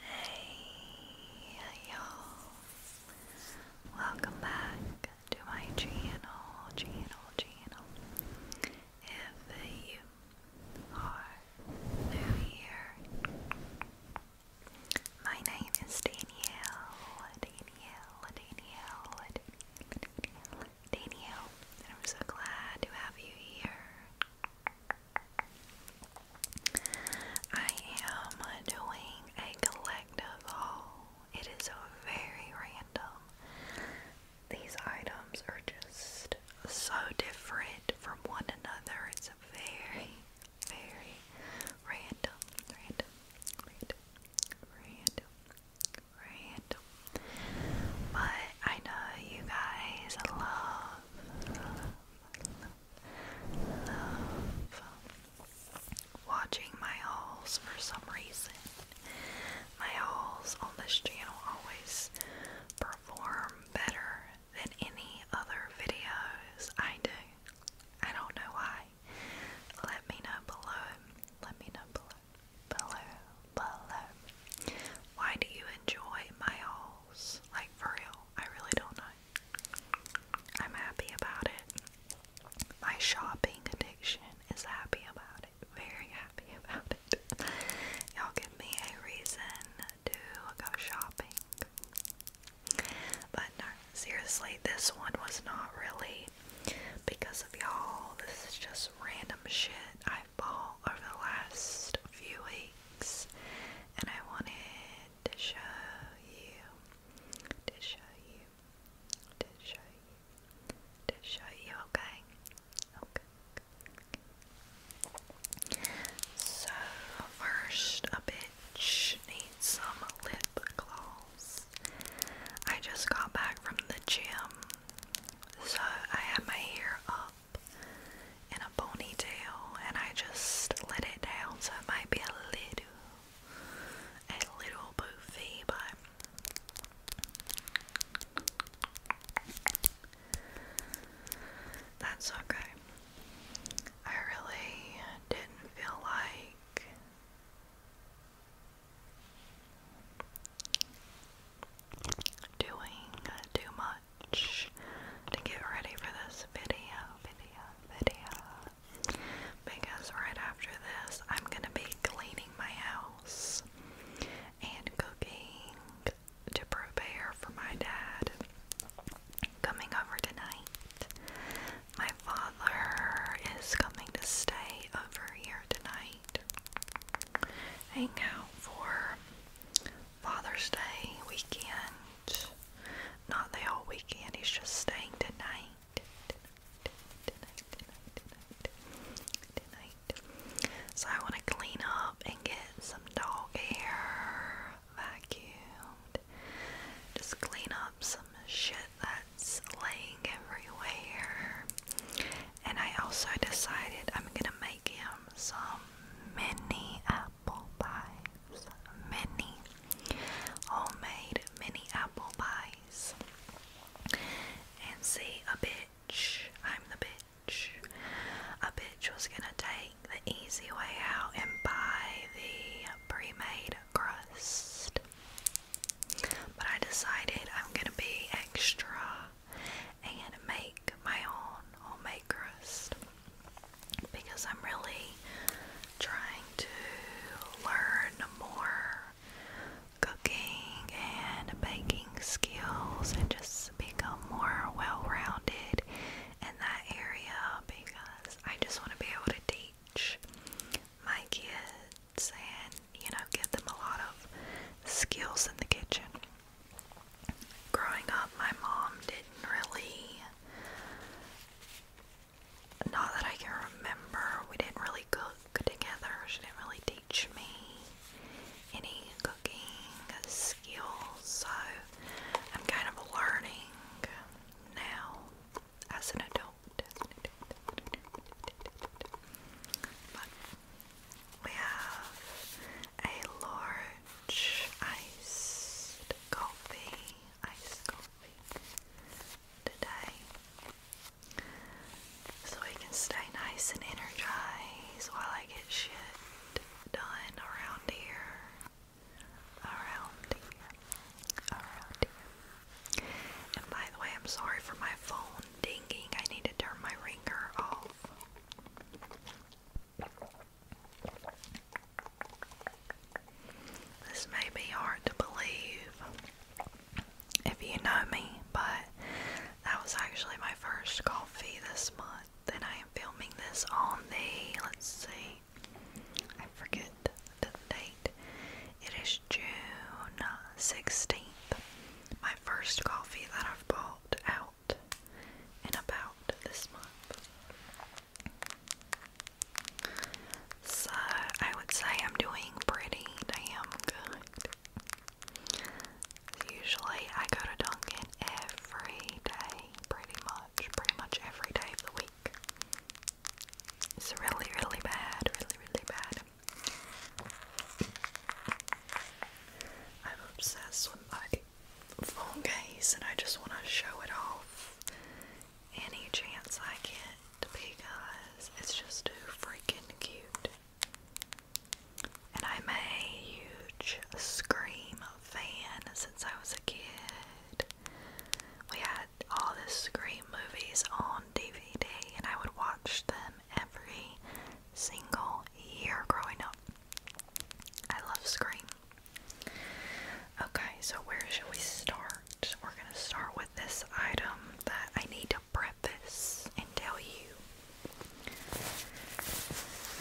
Hey y'all! Welcome back to my channel, channel, channel. If you are new here, my name is Danielle, Danielle, Danielle, Danielle, Danielle, I'm so glad to have you here. I am doing a collective haul. It is very random. These items are just so different from one another. It's very, very random, random, random, random, but I know you guys love, love, love watching my hauls for some reason. My hauls on this channel always perform better than any other videos I do. I don't know why. Let me know below. Let me know below below, below. Why do you enjoy my hauls? Like for real, I really don't know. I'm happy about it. My shopping addiction is happy about it. Very happy about it. Y'all give me a reason to go shopping. But no, seriously, this one was not really because of y'all. This is just random shit I over the last few weeks, and I wanted to show you, to show you, to show you, to show you, Okay. okay. So, first, a bitch needs some lip gloss. I just got back from the gym so I have my hair up in a ponytail and I just let it down so it might be a little a little boofy but that's okay. I really didn't feel like doing too much to get ready for this video, video, video. Because right after this, I'm gonna be cleaning my house and cooking to prepare for my dad coming over tonight. My father is coming to stay over here tonight might hang out for Father's Day weekend. Not the whole weekend, he's just staying tonight. So I want to clean up and get some dog hair vacuumed. Just clean up some shit that's laying everywhere. And I also decided I'm gonna make him some mini apple pies. Mini homemade mini apple pies. And see, a bitch, I'm the bitch. A bitch was gonna take the easy way out and buy the pre made crust. But I decided I'm gonna be extra and make my own homemade crust because I'm really trying to learn more cooking and baking skills and just become more well rounded in that area because I just want to be able to teach my kids and you know give them a lot of skills in the kitchen growing up, my mom didn't really, not that I can remember, we didn't really cook together. She didn't really teach me any cooking skills, so I'm kind of learning now as an adult. We have a large iced coffee, iced coffee today. So we can stay nice and energized while I get shit done around here. Around here. Around here. And by the way, I'm sorry for my phone dinging. I need to turn my ringer off. This may be hard to believe if you know me, but that was actually my first coffee this month, and I am filming this on the let's see, I forget the date. It is June 16th. My first coffee that I've bought out out about this month. So I would say I'm doing pretty damn good. Usually I go to Dunkin' every day, pretty much, pretty much every day of the week. It's really, really bad, really, really bad. I'm obsessed with my phone case and I just want to show it off any chance I get because it's just too freaking cute. And I'm a huge Scream fan since I was a kid. We had all these Scream movies on DVD and I would watch them every single year growing up. I love Scream. Okay, so where should we start? We're gonna start with this item that I need to preface and tell you.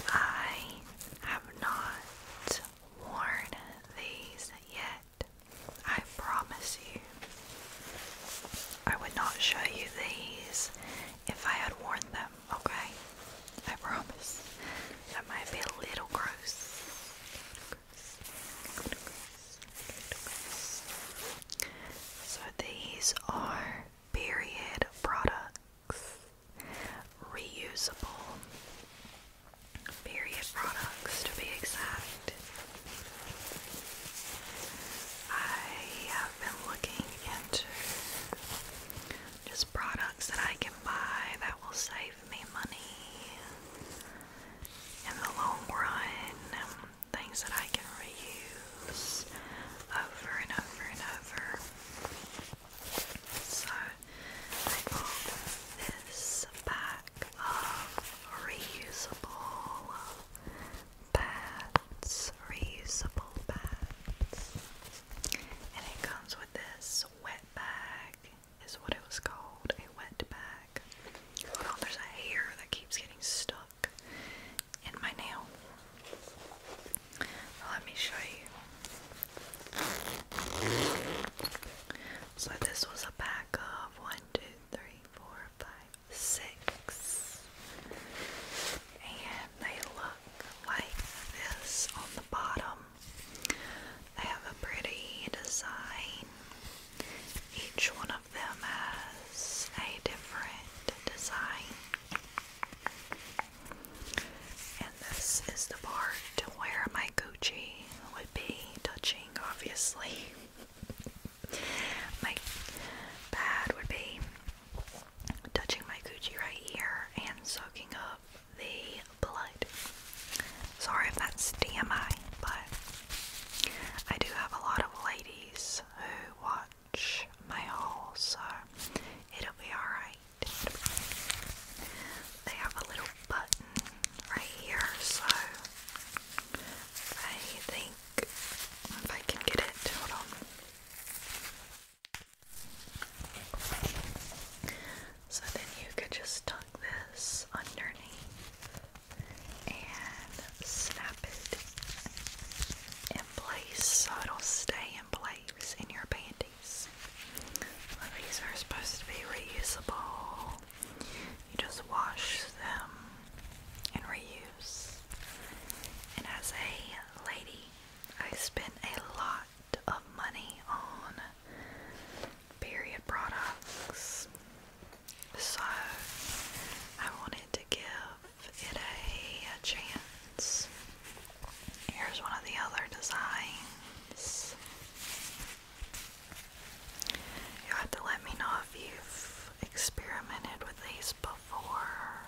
I have not worn these yet. I promise you, I would not show you these if I had worn them okay? I promise. That might be a Little gross. So these are period products. Reusable period products to be exact. I have been looking into just products that I can buy that will save me money in the long run, things that I can reuse over and over and over. So I bought this pack of reusable pads, reusable pads. And it comes with this wet bag, is what it was called, a wet bag. Hold on, there's a hair that keeps getting stuck in my nail. Let me show you. So this was a pack of one, two, three, four, five, six and they look like this on the bottom. They have a pretty design. Each one of them has a different design. And this is the part where my Gucci would be touching, obviously. my pad would be touching my gucci right here and soaking up the blood. Sorry if that's DMI, but I do have a lot of ladies who watch my haul, so it'll be alright. They have a little button right here, so I think if I can get it, hold on. So then you could just tuck this underneath and snap it in place so it'll stay in place in your panties. these are supposed to be reusable. You just wash them and reuse. And as a lady I spent a lot of money on period products, so I wanted to give it a, chance. Here's one of the other designs. you have to let me know if you've experimented with these before.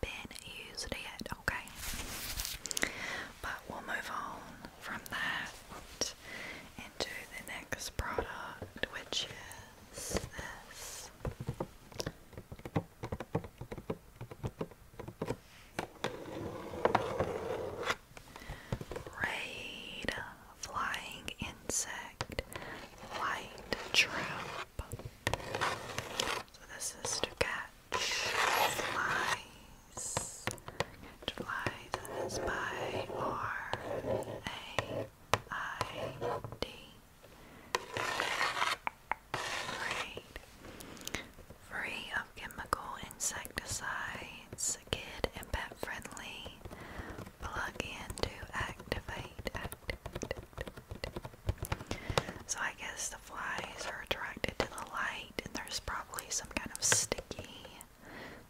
been used yet, okay? But we'll move on from that into the next product, which is this. Raid Flying Insect Light Trap. So, this is to catch flies. Flies is by R A I D. Free of chemical insecticides, kid and pet friendly. Plug in to activate, so I guess the flies are attracted to the light, and there's probably some kind of sticky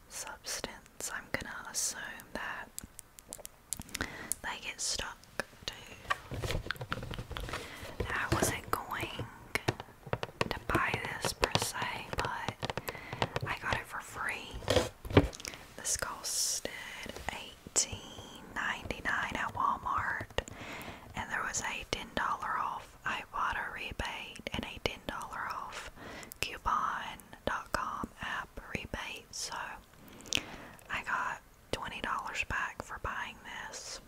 substance. I'm gonna assume that they get stuck too. I wasn't going to buy this per se, but I got it for free. This costed $18.99 at Walmart, and there was a $10 off iWater rebate and a $10 off coupon.com app rebate. So I got $20 back for buying this.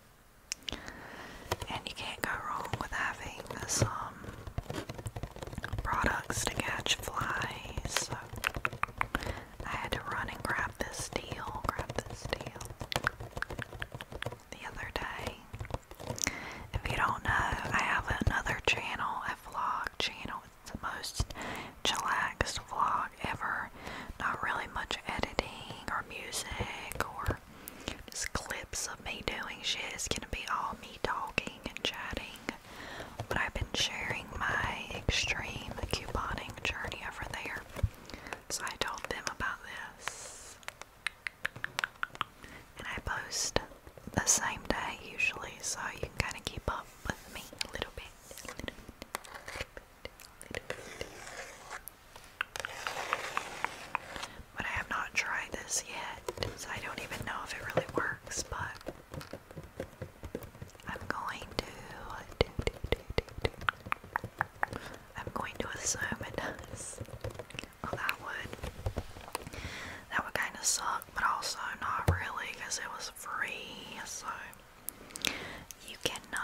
And you can't go wrong with having some um, products to catch flies. I had to run and grab this deal, grab this deal the other day. If you don't know, I have another channel, a vlog channel. It's the most chillaxed vlog ever. Not really much editing or music or just clips of me doing shit. It's gonna be all me talking and chatting. But I've been sharing my extreme couponing journey over there. So I told them about this. And I post the same day usually, so you can kind of keep up with me a little bit. But I have not tried this yet, so I don't even know if it really works, but I'm going to I'm going to assume it does. that would that would kind of suck, but also not really because it was free. So you cannot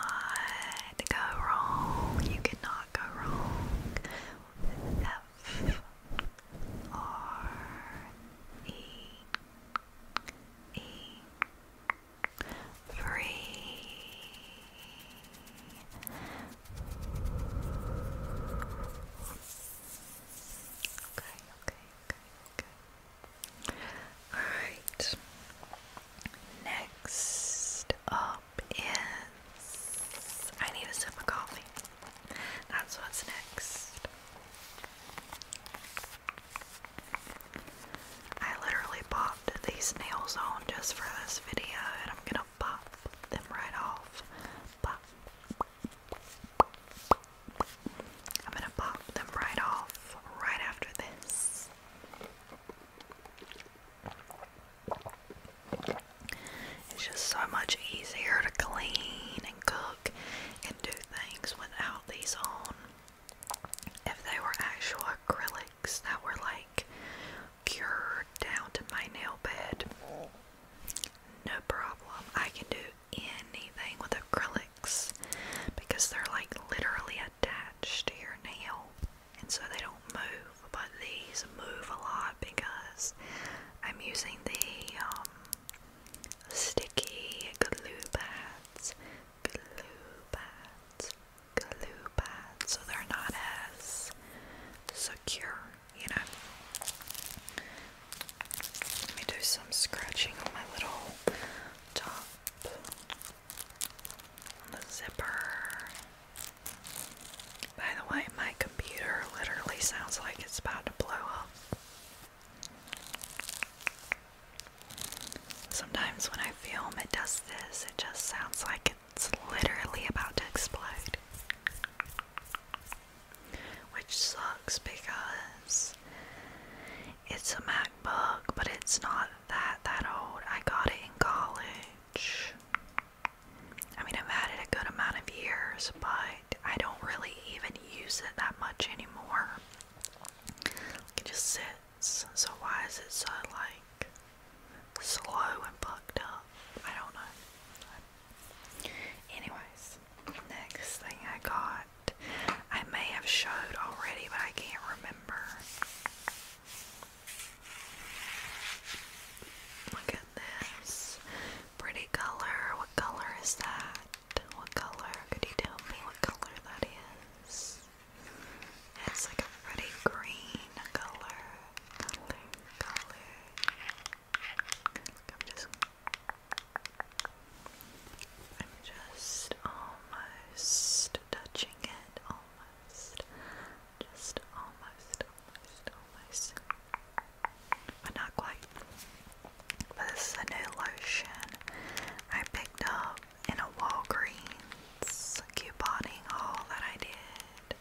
go wrong. You cannot go wrong. F R E E free. Okay, okay, okay, okay. Alright. Next up is I need a sip of coffee. That's what's next. I literally popped these nails on just for this video, and I'm gonna pop them right off. I'm gonna pop them right off right after this. It's just so much easier to clean and cook and do things without these on. If they were actual acrylic that were like cured down to my nail bed. No problem. I can do anything with acrylics because they're like literally attached to your nail and so they don't move. But these move a lot because I'm using the um, sticky glue pads. Glue pads glue pads, so they're not as secure, you know. Let me do some scratching on my little top, zipper. By the way, my computer literally sounds like it's about to blow up. Sometimes when I film, it does this. It just sounds like it's literally about to explode. Which sucks because it's a MacBook, but it's not that that old. I got it in college. I mean, I've had it a good amount of years, but I don't really even use it that much anymore. can just sit so why is it so like slow and plucked up? I don't know. Anyways, next thing I got. I may have showed already, but I can't remember. Look at this. Pretty color. What color is that? What color? Could you tell me what color that is? It's like a pretty green color. color. I'm just. I'm just almost touching it. Almost. Just almost, almost, almost. But not quite. But this is a new lotion I picked up in a Walgreens couponing haul that I did.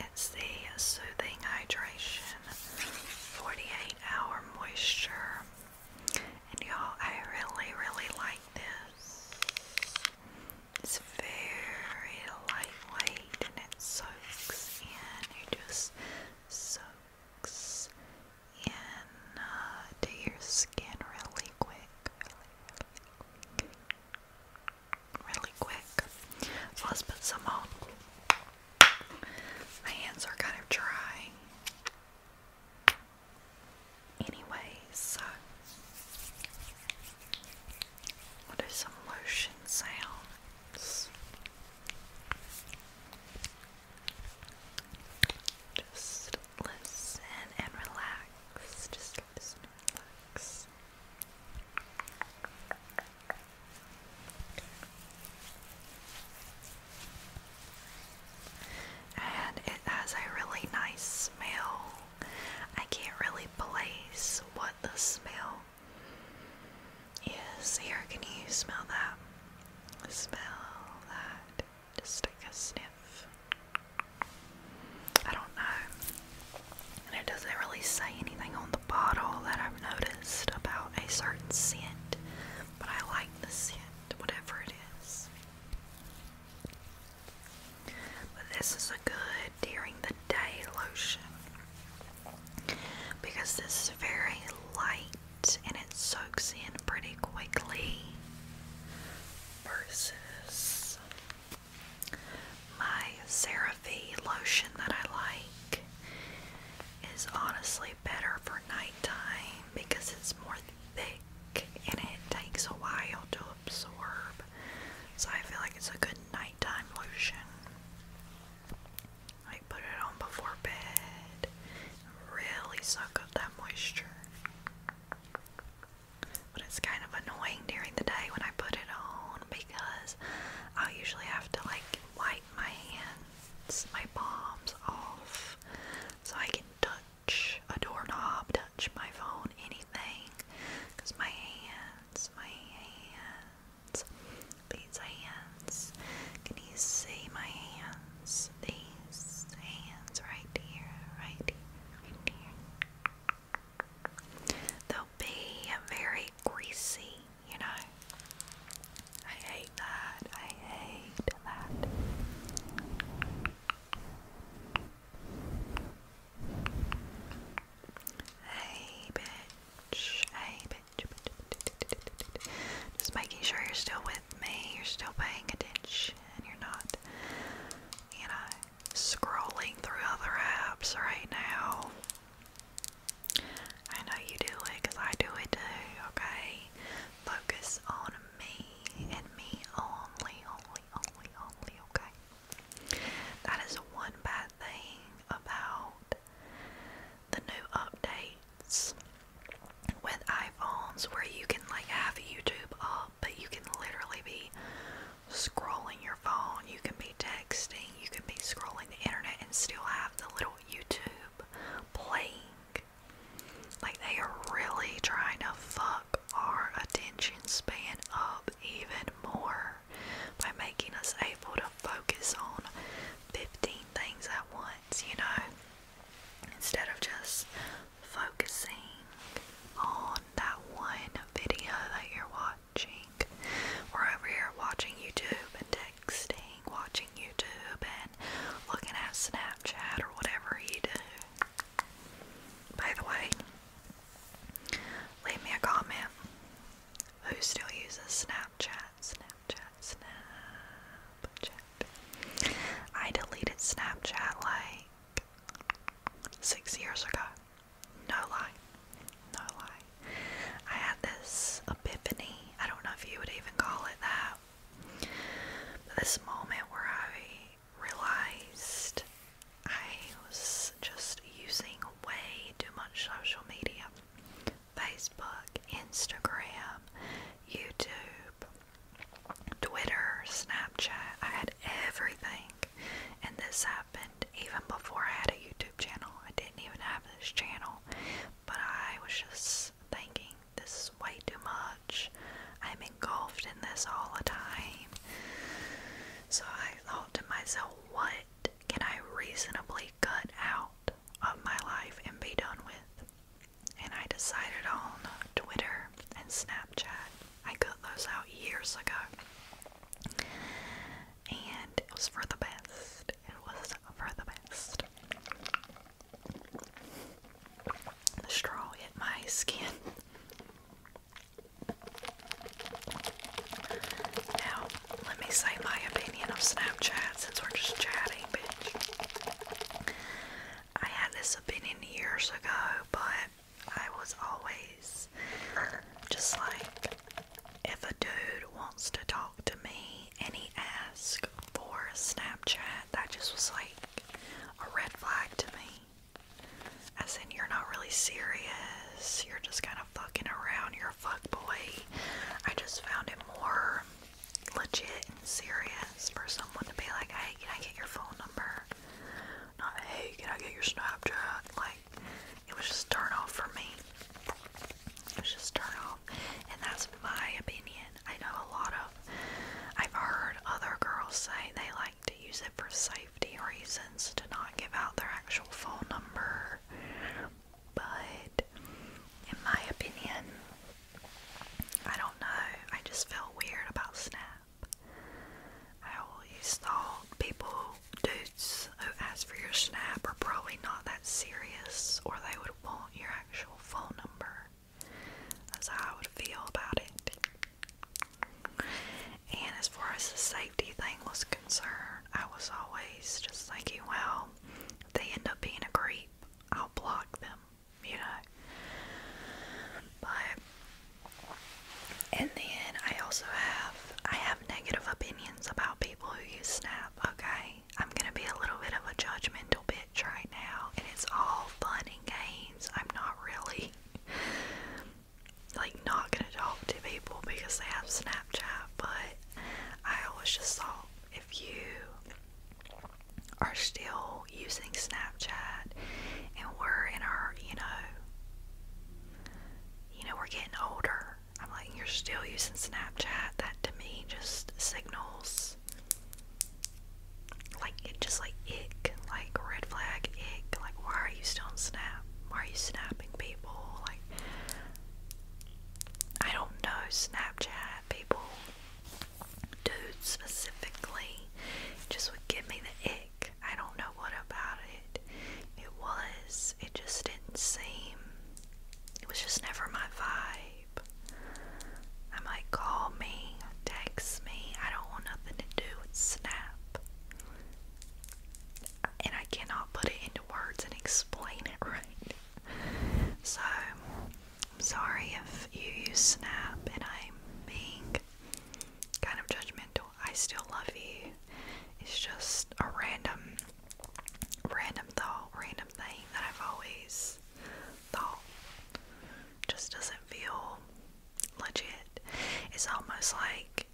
It's the Soothing Hydration 48 Hour Moisture. And y'all, I really, really like this. It's very lightweight and it soaks in. You just soak sinks uh, to your skin really quick, really, really, really quick. let's put some on. My hands are kind of dry. Anyways, we'll do some lotion sounds. Just listen and relax. Just relax. And it has a really nice smell. I can't really place what the smell is. Here, can you smell that? Smell that. Just take a sniff. I don't know. And it doesn't really say anything on the bottle that I've noticed about a certain scent, but I like the scent, whatever it is. But this is a good during the day lotion because this is very light and it soaks in pretty quickly versus my CeraVe lotion that I like is honestly better for nighttime because it's more thick and it takes a while to absorb. So I feel like it's a good nighttime lotion. I put it on before bed really suck up that moisture. But it's kind of annoying during the day when I put it on because i usually have to like wipe my hands, my palms off so I can touch a doorknob, touch my phone, anything. Because my hands, my hands, these hands, can you see my hands? these hands right here, right here, right here. They'll be very greasy, you know. I hate that. I hate that. Hey, bitch. Hey, bitch. Just making sure you're still with me, you're still paying attention, you're not, you know, scrolling through other apps right now. I know you do it I do it too, okay? Focus on me and me only, only, only, only, okay? That is one bad thing about the new update with iPhones where you can like have YouTube up, but you can literally be scrolling your phone, you can be texting, you can be scrolling the internet and still have the little YouTube playing. Like they are really trying to fuck our attention span up even more by making us able to focus on 15 things at once, you know? instead of just focusing on that one video that you're watching. We're over here watching YouTube and texting, watching YouTube and looking at Snapchat or whatever you do. By the way, leave me a comment. Who still uses Snapchat? Snapchat, Snapchat. I deleted Snapchat like six years ago. No lie. No lie. I had this epiphany. I don't know if you would even call it that. But this moment where I realized I was just using way too much social media Facebook, Instagram, YouTube, Twitter, Snapchat. I had everything. And this happened even before I had a YouTube channel. I didn't even have this channel. But I was just thinking, this is way too much. I'm engulfed in this all the time. So I thought to myself, what can I reasonably cut out of my life and be done with? and I decided on Twitter and Snapchat. I cut those out years ago, and it was for the best. It was for the best. The straw hit my skin. Now, let me say my opinion of Snapchat since we're just chatting, bitch. I had this opinion years ago, but I was always just like, if a dude wants to talk to me and he asks for a Snapchat, that just was like a red flag to me. As in, you're not really serious, you're just kind of fucking around, you're a fuck boy. I just found it more legit and serious for someone to be like, hey, can I get your phone number? Not, hey, can I get your Snapchat? Like, it was just turn off for me. It was just turn off. And that's my opinion. I know a lot of, I've heard other girls say they like to use it for safety reasons to not give out their actual phone number. But in my opinion, I don't know. I just feel weird about Snap. I always thought people, dudes who ask for your Snap are probably not that serious or they would want your actual phone number. That's how I would feel about it. And as far as the safety thing was concerned, I was always just thinking, well, they end up being a creep, I'll block them you know. But in the I also have I have negative opinions about people who use Snap. Okay, I'm gonna be a little bit of a judgmental bitch right now, and it's all fun and games. I'm not really like not gonna talk to people because they have Snapchat, but I always just thought if you are still using Snapchat and we're in our, you know, you know, we're getting older. I'm like, you're still using Snapchat. That to me just signals like it just like ick, like red flag ick, like why are you still on Snap? Why are you snapping people? Like I don't know Snapchat people dude specifically just would give me the ick. I don't know what about it. It was, it just didn't seem, it was just never my vibe. I might call me, text me, I don't want nothing to do with Snap. And I cannot put it into words and explain it right. So, I'm sorry if you use Snap and I'm being kind of judgmental. I still love you. It's just a random, random thought, random thing that I've always thought just doesn't feel legit. It's almost like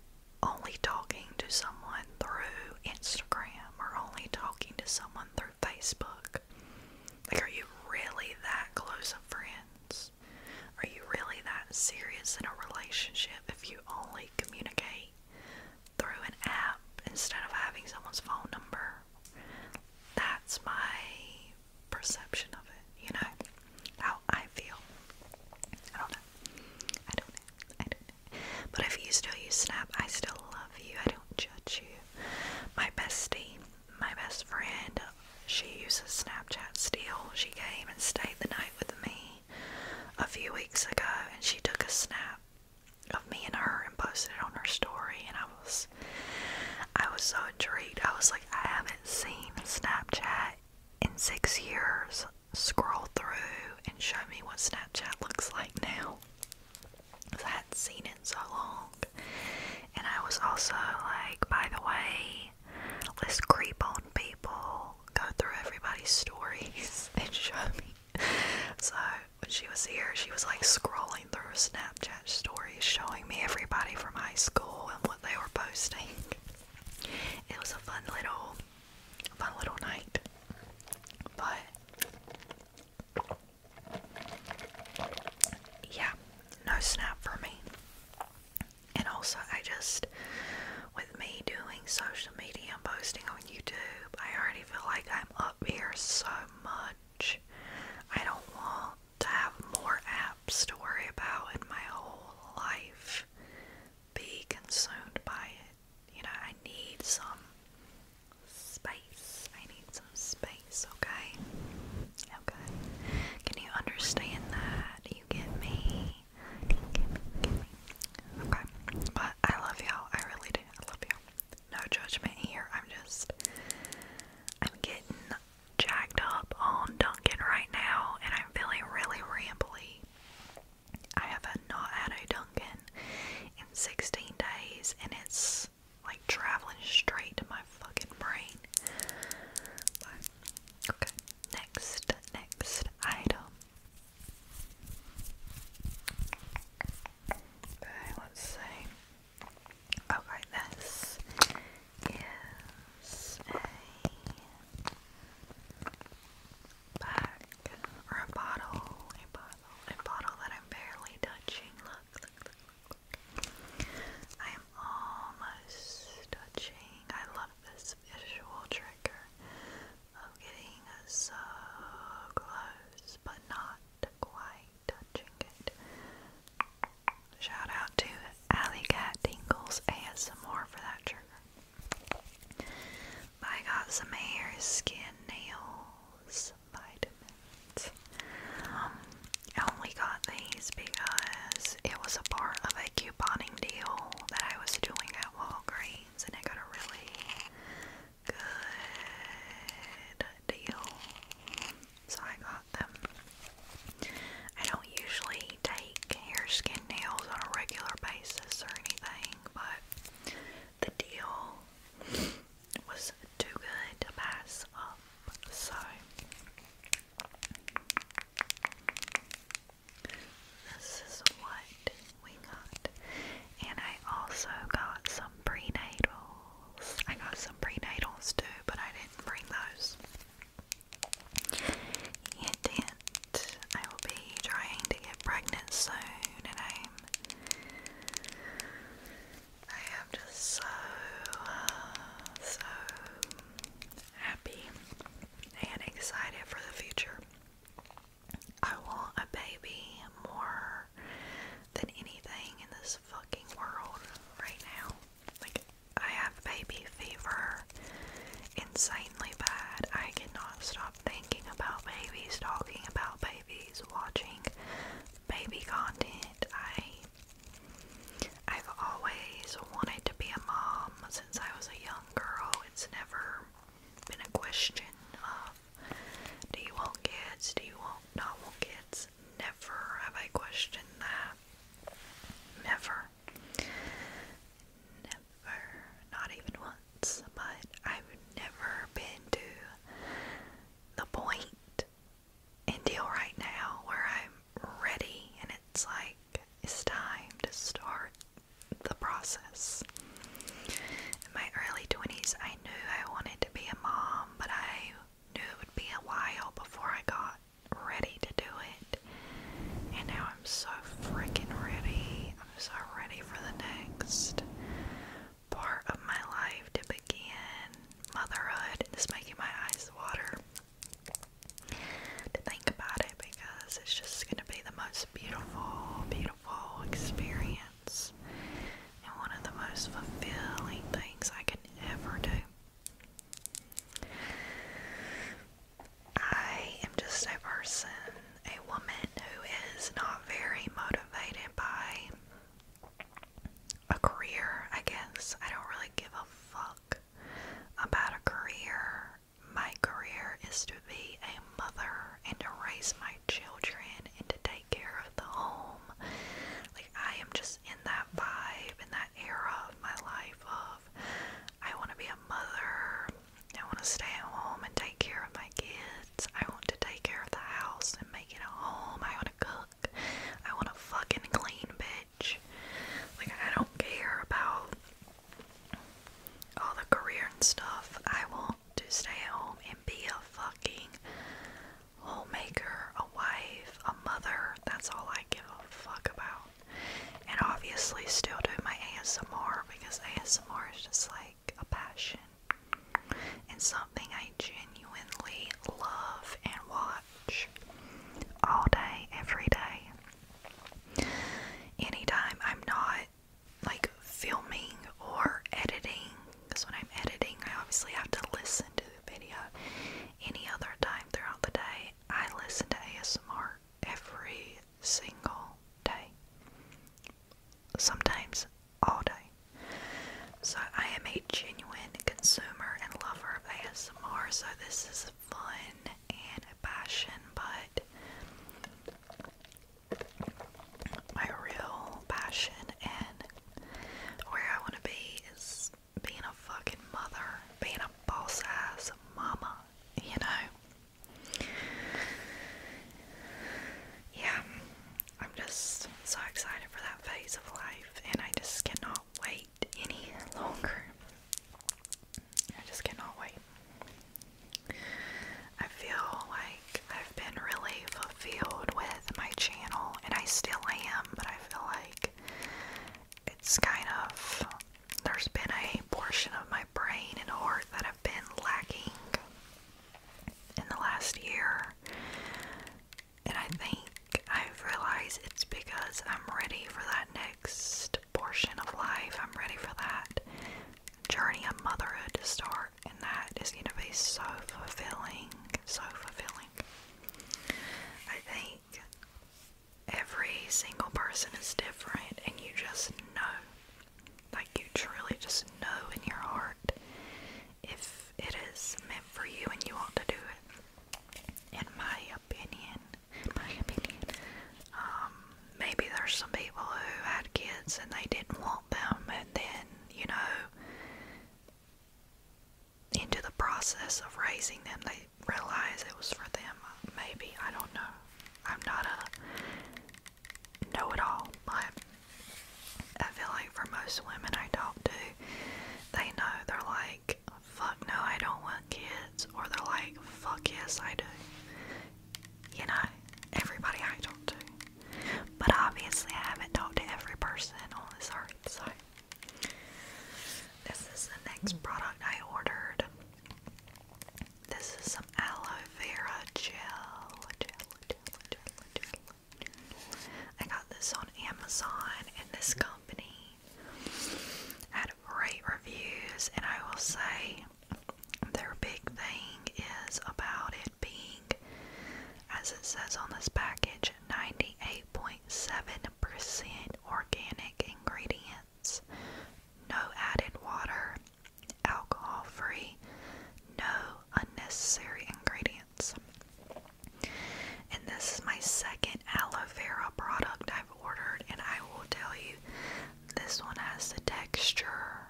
only talking to someone through Instagram or only talking to someone through Facebook. Like, are you really that close of friends? Are you really that serious in a relationship if you only communicate through an app instead of having someone's phone number? That's my perception of it, you know? How I feel. I don't know. I don't I don't But if you still use Snap, I still love you. I don't judge you. My bestie my best friend, she uses Snapchat still. She came and stayed the night with me a few weeks ago and she took a snap of me and her and posted it on her story and I was I was so intrigued. I was like, I haven't seen Snapchat in six years. Scroll through and show me what Snapchat looks like now. I hadn't seen it so long. And I was also like, by the way, let's creep on people, go through everybody's stories, and show me. So when she was here, she was like scrolling through Snapchat stories, showing me everybody from high school and what they were posting. It was a fun little, fun little night. But yeah, no snap for me. And also, I just, with me doing social media and posting on YouTube, I already feel like I'm up here so much. I don't want to have more apps to worry about in my whole life be consumed by it. You know, I need some space. I need some space advice, okay? Okay. Can you understand that? You get me? Okay. But I love y'all. I really do. I love y'all. No judgment here. I'm just I'm getting jacked up on Duncan right now and I'm feeling really rambly. I have not had a Duncan in 16 days and it's like traveling straight to my fucking brain. okay, next, next item. Okay, let's see. Okay, this is a bag or a bottle, a bottle, a bottle that I'm barely touching. look, I am almost touching. I love this visual trigger of getting so close but not quite touching it. Shout out to Alley Cat Tingles ASMR for that trigger. I got some hair, skin, nails, vitamins. Um, I only got these because it was a part of a couponing deal that I was doing at Walgreens, and I got a really good deal. So I got them. I don't usually take hair, skin, nails on a regular basis or anything, but the deal was too good to pass up. So this is what we got. And I also got some prenatals. I got some prenatals too, but I didn't bring those. Hint, I will be trying to get pregnant soon, and I'm I am just so, uh, so happy and excited for the future. I want a baby more than anything in this fucking world right now. Like, I have baby fever insanely bad. I cannot stop thinking about babies, talking about babies, watching baby content. I I've always wanted to be a mom since I was a young girl. It's never been a question of do you want kids, do you want not want kids? Never have I questioned that. Never. Never. Not even once. But I've never been to the point deal right now where I'm ready and it's like it's time to start the process. In my early 20s, I knew I wanted to be a mom, but I knew it would be a while before I got ready to do it. And now I'm so freaking ready. I'm so ready for the next part of my life to begin motherhood. It's making my eyes water to think about it because it's just going to be the most beautiful, beautiful experience and one of the most fulfilling things I can ever do. I am just a person, a woman who is not very motivated by a career, I guess. I don't really give a fuck about a career. My career is to be a mother and to raise my children and to take care of the home. Like, I am just in that vibe, in that era of my life of I want to be a mother. I want to stay at home and take care of my kids. I want to take care of the house and make it a home. I want to cook. I want to fucking clean, like, I don't care about all the career and stuff. I want to stay home and be a fucking homemaker, a wife, a mother. That's all I give a fuck about. And obviously, still doing my ASMR because ASMR is just like a passion and something I genuinely love and watch all day, every day. Anytime I'm not like filming or editing, because when I'm editing, I obviously have to listen to the video. Any other time throughout the day, I listen to ASMR every single day. Sometimes all day. So I am a genuine consumer and lover of ASMR so this is fun and a passion, but my real passion and where I want to be is being a fucking mother, being a boss ass mama, you know? Yeah, I'm just so excited for that phase of life, and I just cannot wait any longer. I just cannot wait. I feel like I've been really fulfilled with my channel, and I still am, but I feel like it's kind of there's been a portion of my brain and heart that have been lacking in the last year. And I think I've realized it's because I'm ready for that next portion of life. I'm ready for that journey of motherhood to start, and that is going to be so fulfilling. So fulfilling. I think every single person is different, and you just know. Like, you truly just know in your heart if it is meant for you and you want to do it. And my opinion, um, maybe there's some people who had kids and they didn't want them, and then, you know, into the process of raising them, they realize it was for them. Maybe, I don't know. I'm not a know it all, but I feel like for most women I talk to, they know they're like, fuck no, I don't want kids, or they're like, fuck yes, I do. You know, everybody I talk to. But obviously, I haven't talked to every person on this earth, so. This is the next hmm. product I ordered. This is some aloe vera gel. gel. I got this on Amazon, and this company had great reviews, and I will say their big thing is about it being, as it says on this package, 98.7% organic ingredients, no added water, alcohol free, no unnecessary ingredients. And this is my second aloe vera product I've ordered, and I will tell you, this one has the texture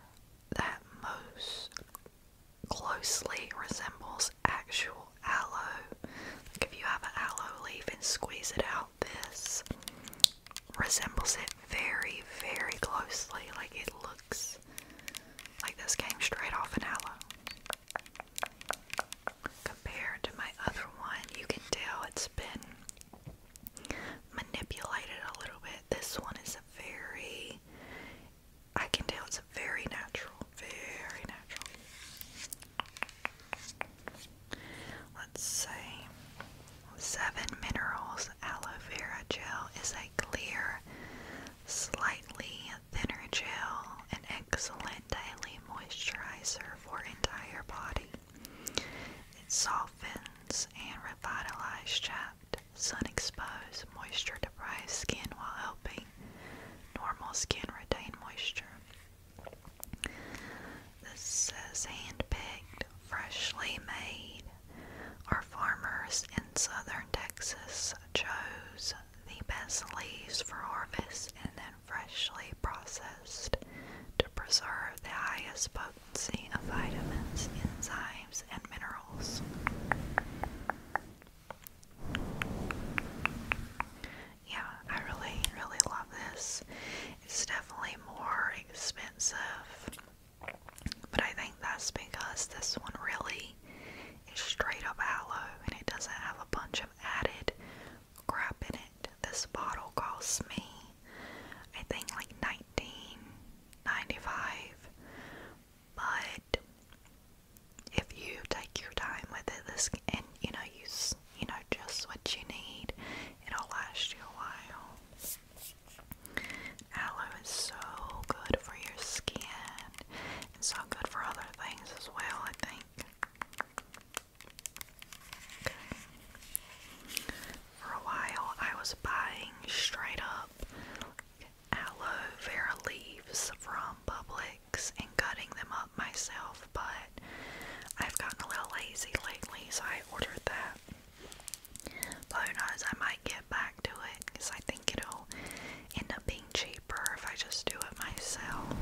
that most closely resembles actual aloe. Like if you have an aloe leaf and squeeze it out, this resembles it very, very closely. Like it looks like this came straight off an aloe. Compared to my other one, you can tell it's been manipulated a little bit. This one is a very, I can tell it's a very natural, very natural. Let's say Seven Minerals Aloe Vera Gel is a clear, slightly thinner gel, an excellent daily moisturizer for entire body. It softens and revitalizes chapped, sun-exposed, moisture-deprived skin while helping normal skin retain moisture. This is hand-picked, freshly made. Our farmers in southern Texas chose the best leaves for harvest and then freshly processed to preserve the highest potency of vitamins, enzymes, and minerals. Yeah, I really, really love this. It's definitely more expensive, but I think that's because this one really is straight up aloe and it doesn't have a bunch of added crap in it. This bottle costs me, I think, like nineteen ninety-five. But if you take your time with it, this and you know use you know just what you need, it'll last you a while. Aloe is so good for your skin. It's so good for other things as well. I think. For a while, I was buying straight up aloe vera leaves from Publix and cutting them up myself, but I've gotten a little lazy lately, so I ordered that. But who knows, I might get back to it because I think it'll end up being cheaper if I just do it myself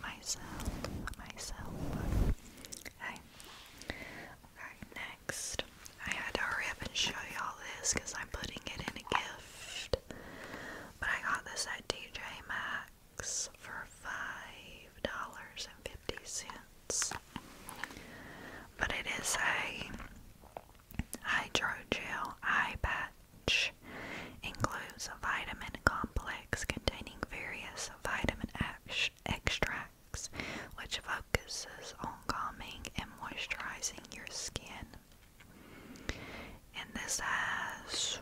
myself, myself. Okay, next. I had to hurry up and show y'all this because I'm putting it in a gift. But I got this at DJ Maxx for five dollars and fifty cents. But it is a hydrogel eye patch patch includes a vitamin complex containing various vitamin ex extracts, which focuses on calming and moisturizing your skin. And this has,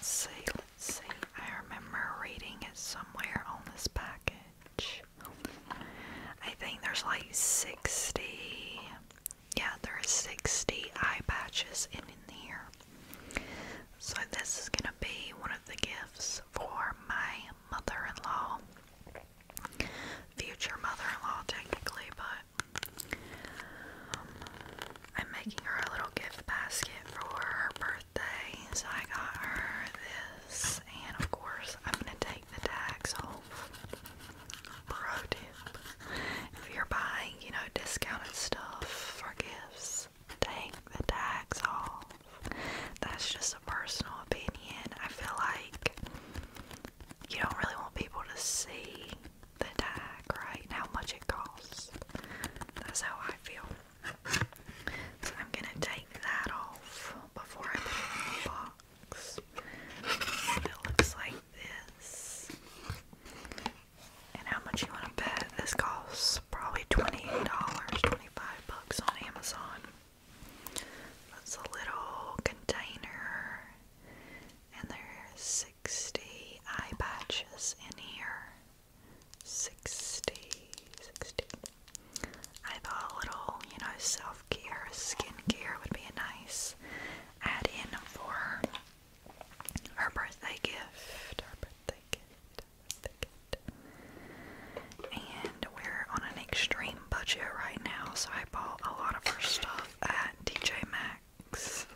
see, let's see, I remember reading it somewhere on this package. I think there's like 60 yeah, there 60 eye patches in, here. So this is gonna be one of the gifts for my mother-in-law. Future mother-in-law technically, but um, I'm making her a little gift basket for her birthday. So I got her this, and of course I'm gonna take the tags off. Bro, if you're buying, you know, discounted stuff for gifts, take the tax off. That's just a personal opinion. I feel like you don't really want people to see the tag, right? how much it costs. That's how I feel. So I'm gonna take that off before I put it in the box. It looks like this. And how much you want to bet? This costs probably $20, 25 bucks on Amazon. That's a little container. And there's 60 eye patches in here. 60, I thought a little, you know, self care, skin care would be a nice add in for her birthday gift. Her birthday gift. And we're on an extreme budget right now, so I bought a lot of her stuff at DJ Max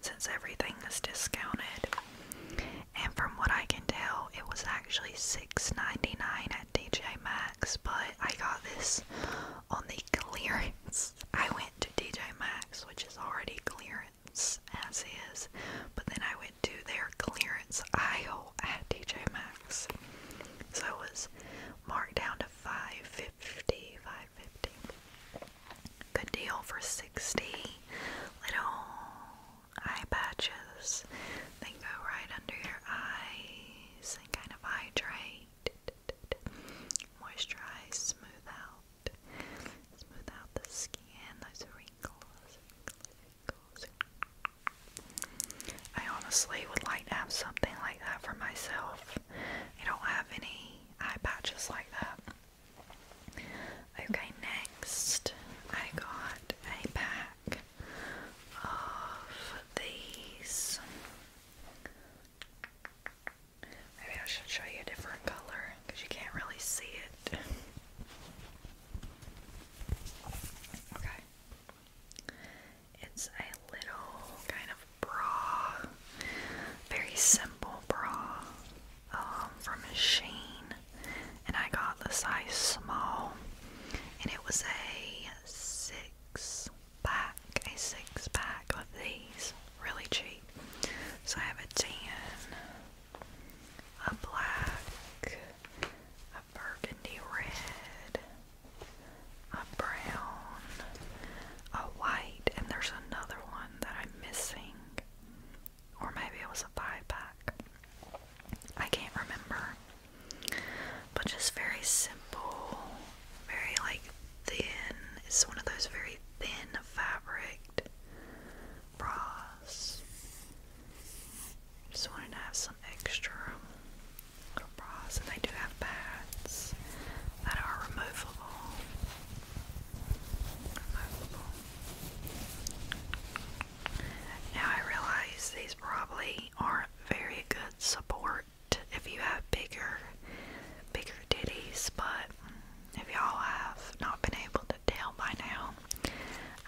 since everything is discounted. And from what I can tell, it was actually six ninety nine at DJ Max, but I got this on the clearance. I went to DJ Max, which is already clearance as is, but then I went to their clearance aisle at TJ Maxx. So it was marked down to 550, 550. Good deal for 60 little eye patches. They go right under your eyes and kind of hydrate, moisturize, smooth out. Smooth out the skin, those wrinkles. I honestly would like to have something like that for myself. I don't have any eye patches like that. Okay, next I got a pack of these Maybe I should show you a different color because you can't really see it. okay. It's a little kind of bra, very simple bra um, from Sheen. And I got the size small, and it was a six pack, a six pack of these, really cheap. So I have a tan, a black, a burgundy red, a brown, a white, and there's another one that I'm missing. Or maybe it was a pack. I can't remember. But just very simple, very like thin. It's one of those very thin fabric bras. Just wanted to have some extra little bras, and they do have pads that are removable. Now I realize these probably aren't very good support if you have bigger, bigger ditties, but if y'all have not been able to tell by now,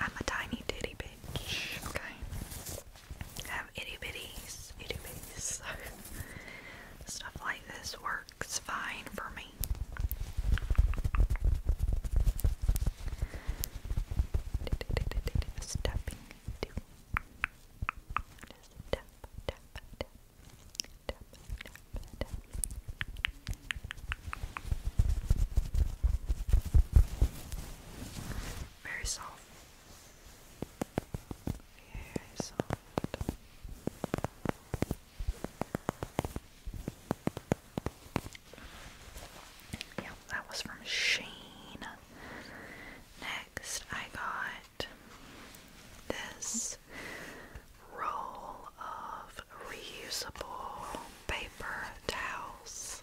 I'm a tiny titty bitch. Okay. I have itty bitties, itty bitties. stuff like this works fine for me. Stuffing. tap, tap, tap, very soft. Very soft. Yeah, that was from Sheen. Next, I got this roll of reusable paper towels.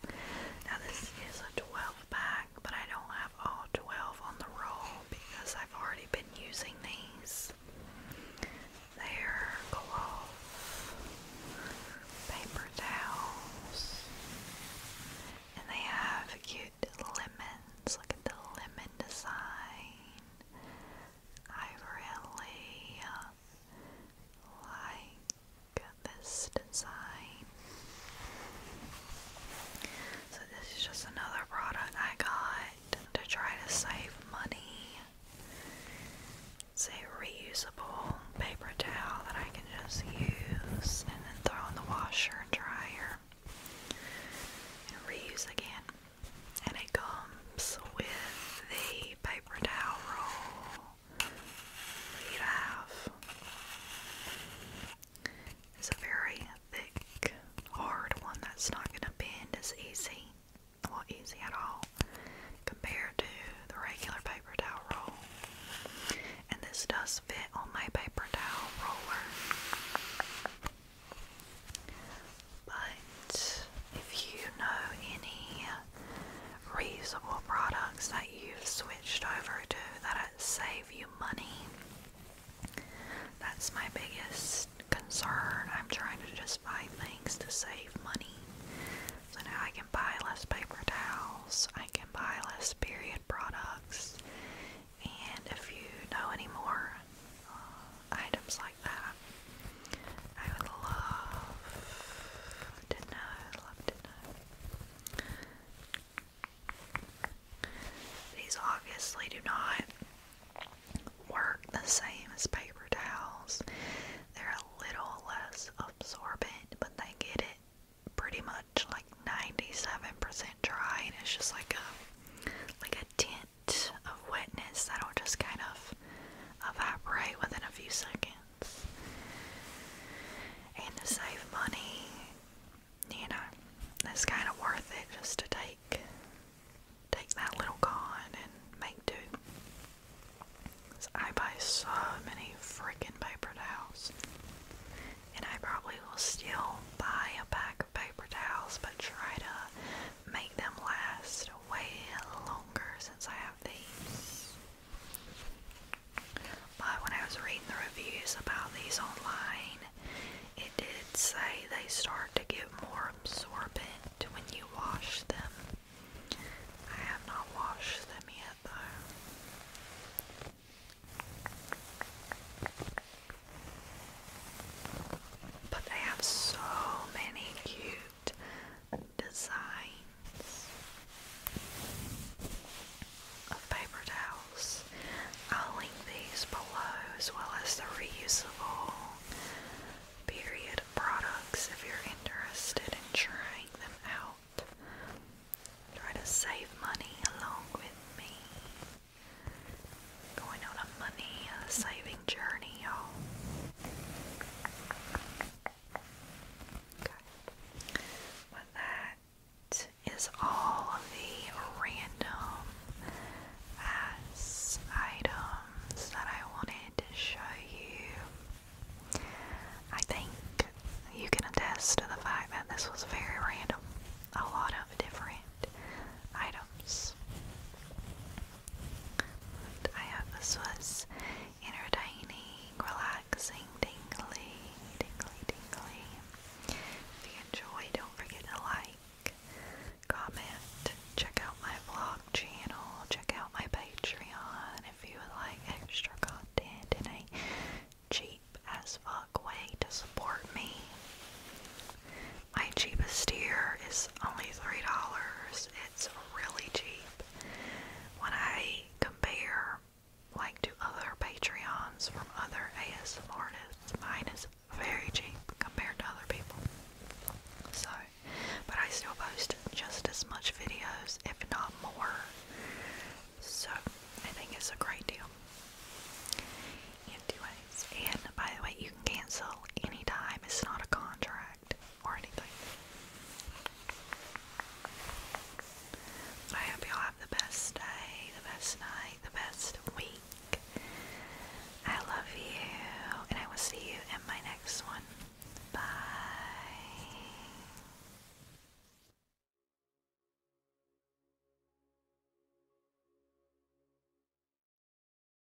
Now, this is a 12 pack, but I don't have all 12 on the roll because I've already been using these. They're cloth paper towels, and they have cute lemons. Look at the lemon design. I really uh, like this design. So this is just another product I got to try to save money. It's reusable paper towel that I can just use and then throw in the washer and dryer and reuse again and it comes with the paper towel roll that have. It's a very thick, hard one that's not going to bend as easy, well, easy at all, compared to the regular paper towel roll. And this does fit on my paper towel roller. But if you know any reusable products that you've switched over to that save you money, that's my biggest concern. I'm trying to just find things to save money. So now I can buy less paper towels, I can buy less period products, and if you know any more uh, items like that. I would love to know, love to know. These obviously do not work the same as paper towels. They're a little less absorbent, but they get it pretty much like 97% dry and it's just like a like a tint of wetness that'll just kind of evaporate within a few seconds. And to save money, you know, it's kind of worth it just to take take that little con and make do. I buy so many freaking paper towels. And I probably will still buy a pack of paper towels, but try to make them last way longer since I have these. But when I was reading the reviews about these online, it did say they start to get more absorbent when you wash them. I have not washed them yet though. But they have so many cute designs of paper towels. I'll link these below as well as the reusable period products if you're interested in trying them out. Try to save money along with me. Going on a money uh, saving journey, y'all. Okay. But that is all the random items that I wanted to show you. I think you can attest to the fact that this was very random. A lot of different items. I hope this was entertaining, relaxing, dingly, dingly, dingly. If you enjoy, don't forget to like, comment, check out my vlog channel, check out my Patreon if you would like extra content in a cheap as fuck way to support me. My cheapest tier is only $3. It's really cheap. When I compare like to other Patreons from other ASM artists, mine is very cheap compared to other people. So, but I still post just as much videos, if not more. So, I think it's a great deal. Anyways, and by the way, you can cancel anytime. It's not a contract or anything. I hope y'all have the best day, the best night, the best week. I love you, and I will see you in my next one. Bye.